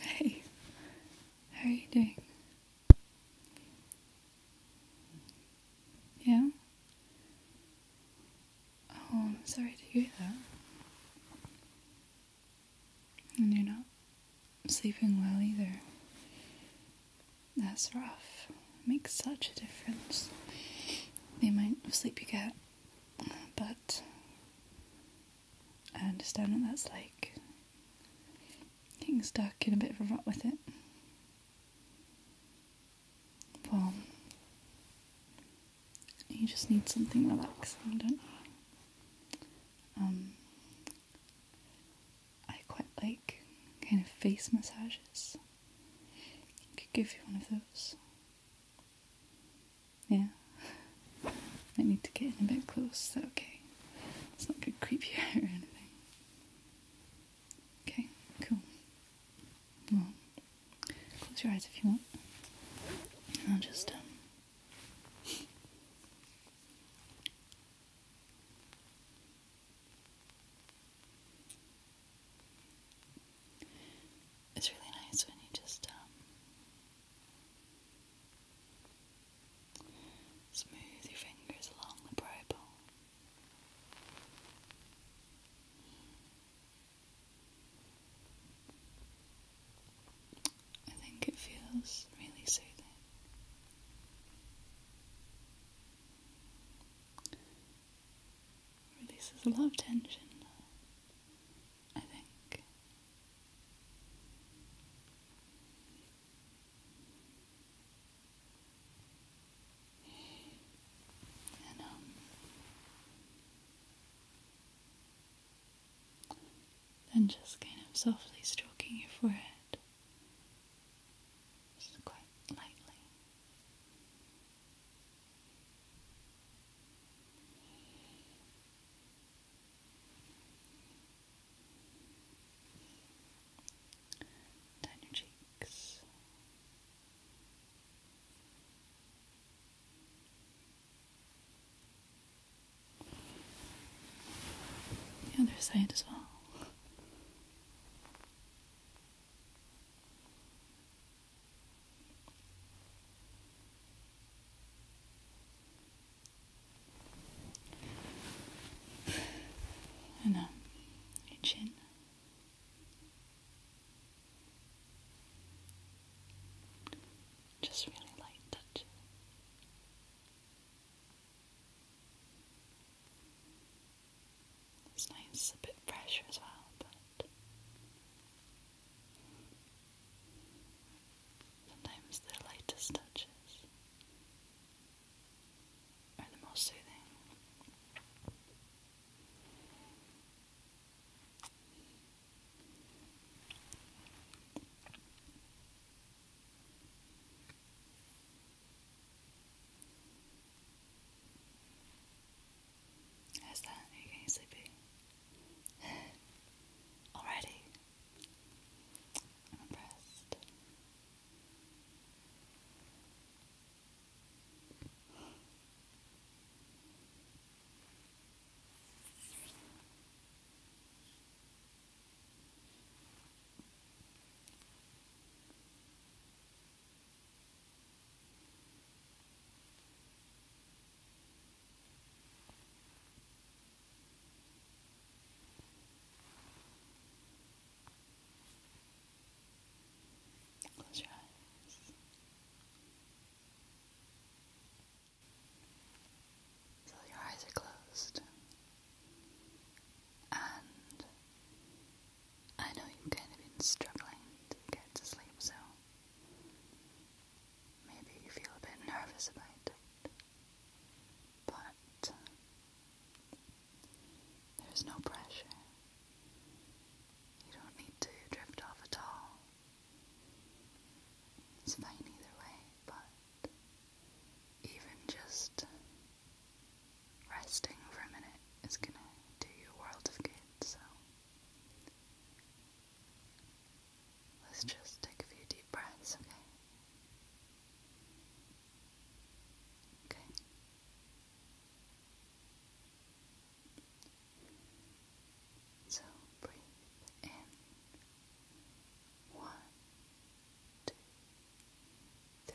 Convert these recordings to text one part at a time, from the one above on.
Hey, how are you doing? Yeah? Oh, I'm sorry to hear that. And you're not sleeping well either. That's rough. makes such a difference. The amount of sleep you get. But I understand what that's like. Getting stuck in a bit of a rut with it. Well, you just need something relaxing, don't you? Um, I quite like kind of face massages. I could give you one of those. Yeah. I need to get in a bit close, is that okay? It's not gonna creep you out or anything. Okay, cool. Well, close your eyes if you want. I'll just um, it's really nice when you just um, smooth your fingers along the bridle. I think it feels really soothing. Releases a lot of tension I think. And, um, then just kind of softly stroking your forehead, just quite lightly. Down your cheeks. The other side as well. And up um, chin. Just really light touch. It's nice, a bit fresh as well, but Sometimes the lightest touches are the most soothing. How's that? you getting sleepy? Already? I'm impressed. Close your eyes. So your eyes are closed, and I know you've kind of been struggling to get to sleep, so maybe you feel a bit nervous about it. But uh, there's no pressure. You don't need to drift off at all. It's fine either way, but even just resting for a minute is gonna do you a world of good, so Let's just take a few deep breaths, okay? Okay. So breathe in one, two, three,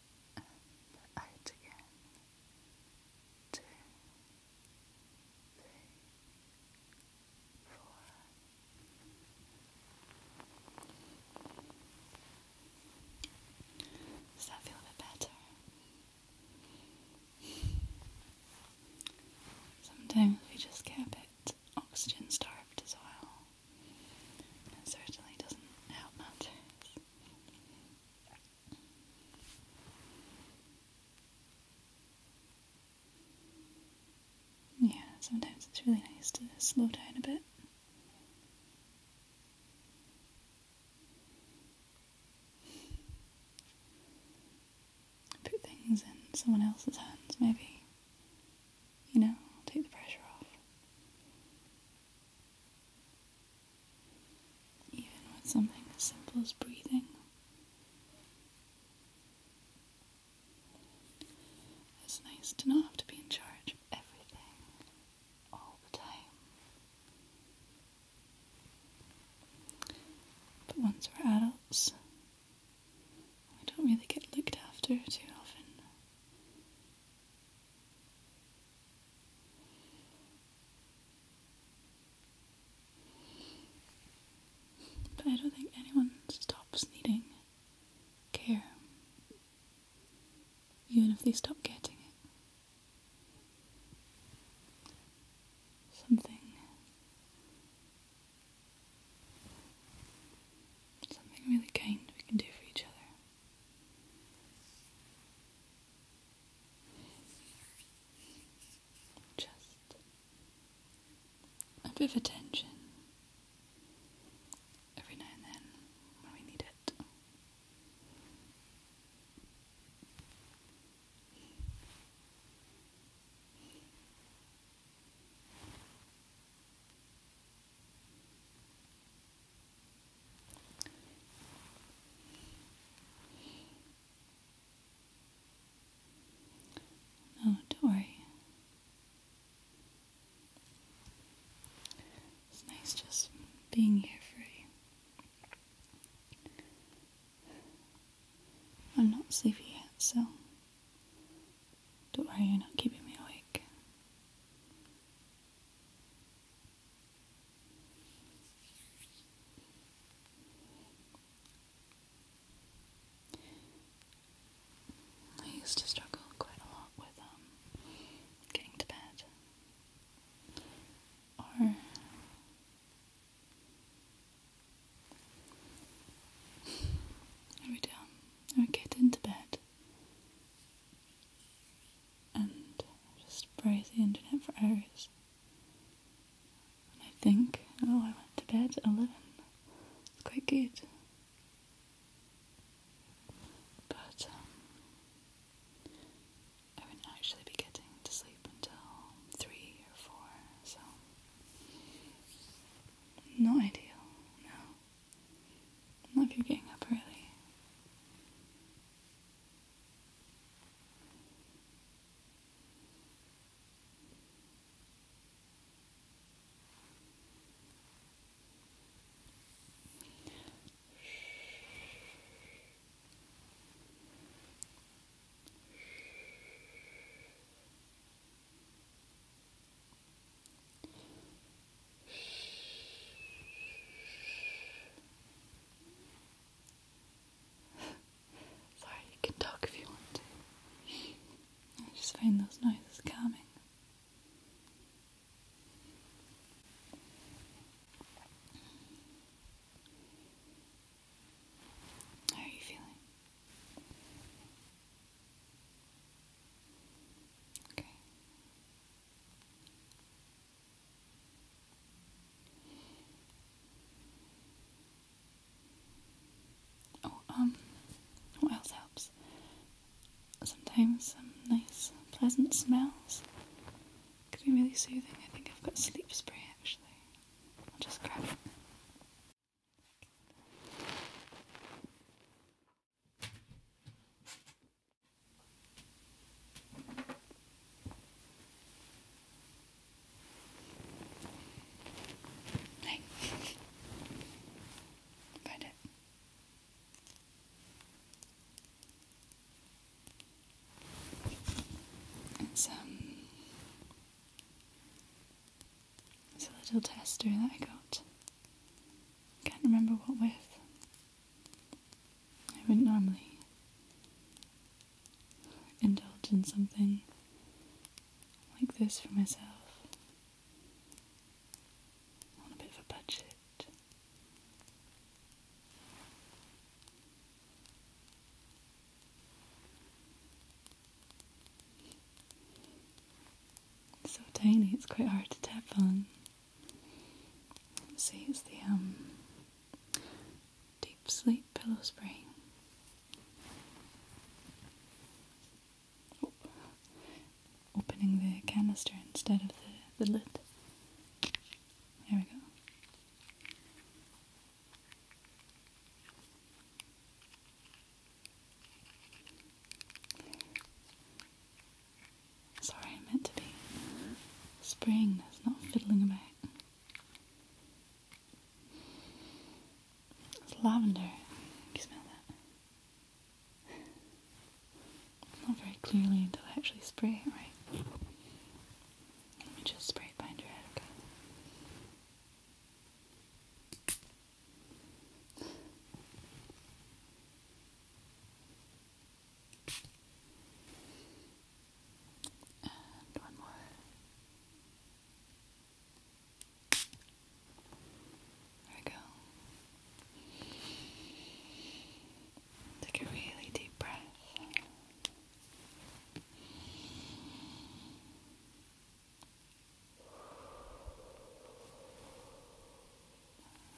and again. Two, three, four. Does that feel a bit better? Sometimes we just get a bit oxygen starved as well. It certainly doesn't help matters. Yeah, sometimes it's really nice to slow down a bit. Put things in someone else's hands, maybe. You know, take the pressure off even with something as simple as breathing. It's nice to not have to be in charge of everything all the time. But once we're adults, we don't really get looked after too often. But I don't think anyone stops needing care, even if they stop getting it. Something. Something really kind we can do for each other. Just a bit of attention every now and then when we need it. No, don't worry. It's nice just being here for you. I'm not sleepy yet, so don't worry, you're not keeping me awake. I used to struggle quite a lot with um getting to bed or I would um I would get bed and just browse the internet for hours. And I think, oh, I went to bed at 11. It's quite good. But um, I wouldn't actually be getting to sleep until 3 or 4, so no ideal, no. Like you're getting up early. Sorry, you can talk if you want to. I just find those noises calming. How are you feeling? Okay. Oh, um, what else helps? Sometimes some nice, pleasant smells can be really soothing. I think I've got sleep spray actually. I'll just grab it find it. It's um, it's a little tester that I got. Can't remember what with. I wouldn't normally indulge in something like this for myself. On a bit of a budget. so tiny, it's quite hard to tap on. See, it's the um, Deep Sleep Pillow Spray. Opening the canister instead of the, the lid. There we go. Sorry, I meant to be spring. this, not fiddling about. It's lavender. you smell that? Not very clearly until I actually spray it right. Let me just spray it behind your head, okay? And one more. There we go. Take a really deep breath.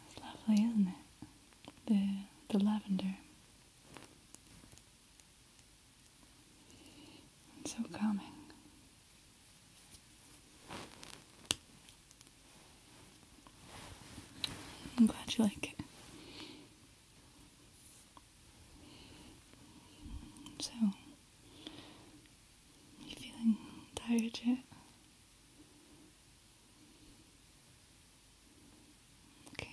It's lovely, isn't it? The the lavender. It's so calming. I'm glad you like it. So, you feeling tired yet? Okay.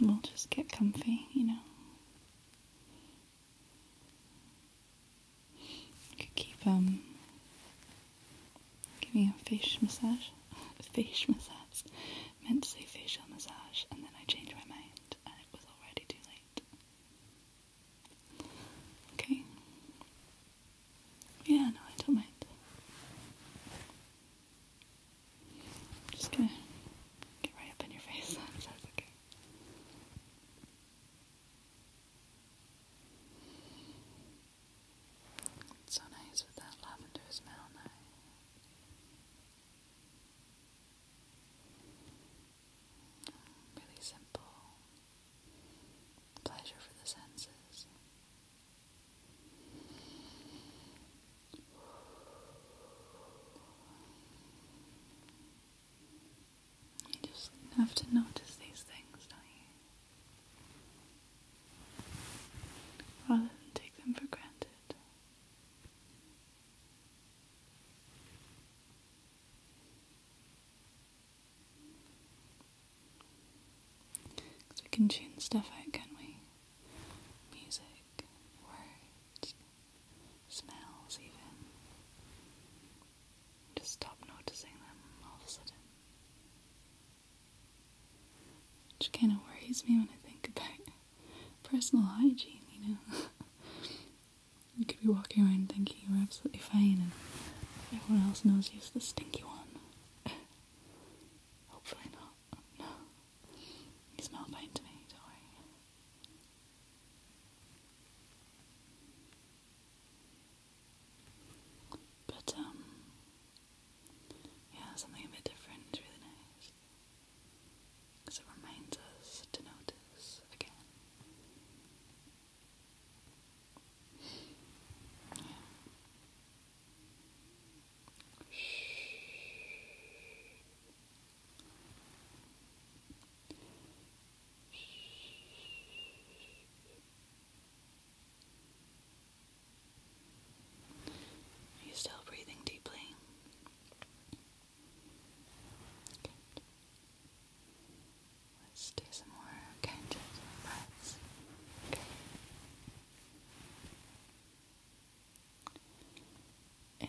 We'll just get comfy, you know. could keep um giving a face massage. face massage. Meant to say facial massage and then I changed my mind and it was already too late. Okay. Yeah, no, I don't mind. just gonna get right up in your face It's so nice with that lavender smell now really simple pleasure for the senses. You just have to notice these things, don't you? Rather than take them for granted we can tune stuff out, can we? Music, words, smells, even. Just stop noticing them all of a sudden. Which kind of worries me when I think about personal hygiene, you know. You could be walking around thinking you're absolutely fine and everyone else knows you're the stinky one. Hopefully not. No. You smell fine to me, don't worry. But, um, yeah, something a bit different is really nice as it reminds us to notice again. Yeah. Are you still breathing deeply? Let's do some more, okay, just breaths. Okay. In,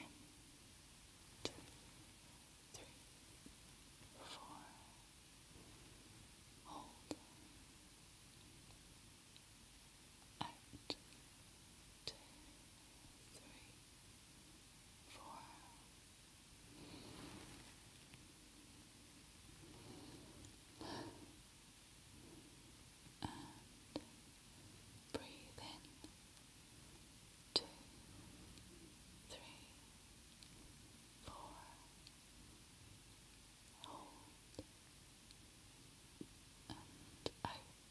Hold. Out four, and breathe in two, three, four, hold and out.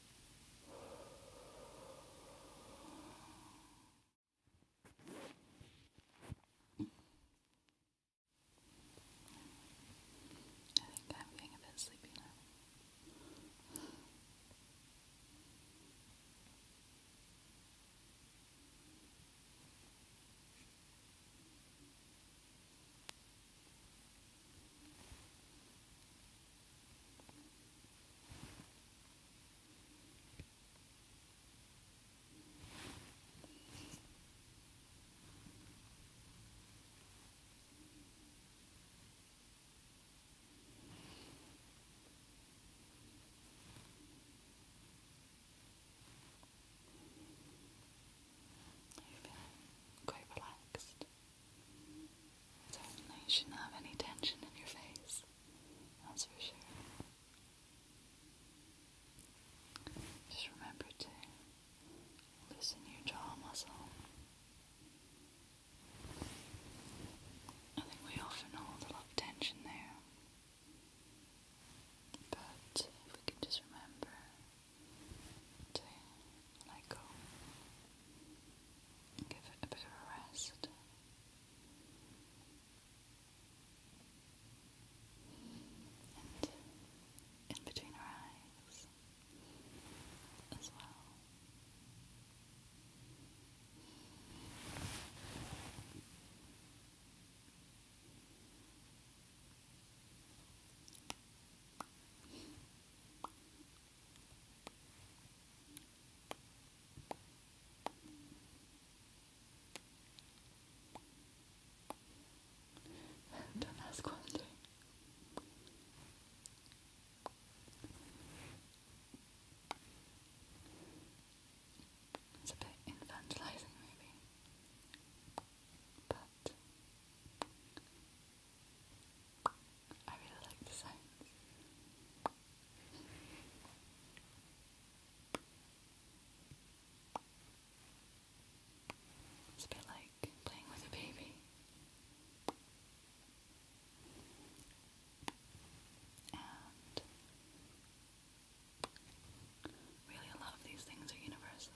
I think I'm getting a bit sleepy now. You're feeling quite relaxed. Certainly you shouldn't have any tension in your face, that's for sure. Just remember to loosen your jaw muscle. I think we often hold a lot of tension there. But if we can just remember to let go and give it a bit of a rest. And in between her eyes as well. Don't ask one It's a bit infantilizing, maybe, but I really like the sounds. It's a bit like playing with a baby. really, a these things are universal,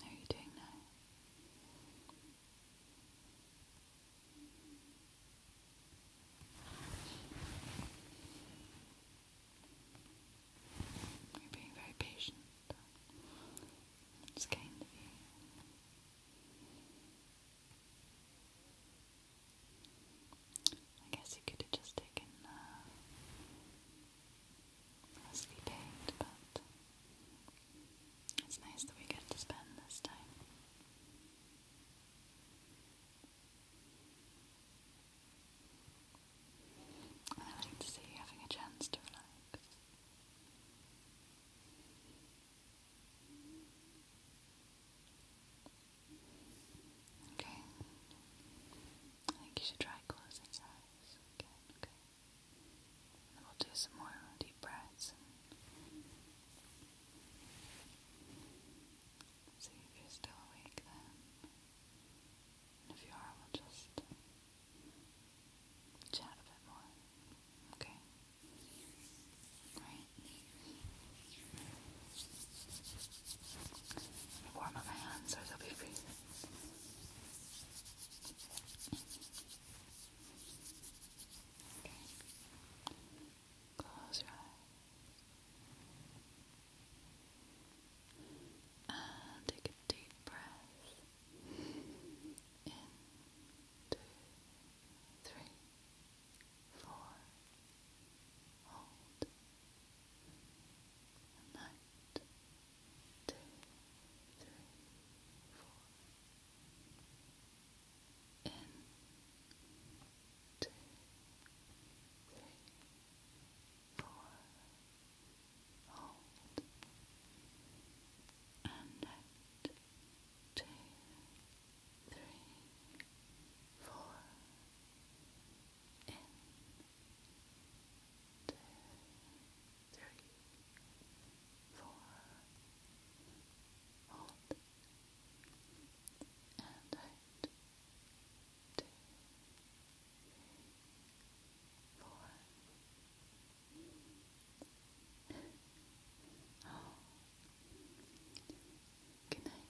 How are you doing now? You're being very patient. It's kind of I guess you could just taken uh, mostly paint, but it's nice that we get to spend this time. I like to see you having a chance to relax. Okay. I think you should try closing your eyes okay, okay. we'll do some more deep breaths see if you're still awake then. if you are, we'll just chat a bit more. Okay? Right. Warm up my hands or they'll be freezing. Close your eyes. And take a deep breath in two, three, four. Hold a night, in, two, three, four, hold, and two, three, four, in, two, three, four, hold, and out, two, three, four, oh, good night.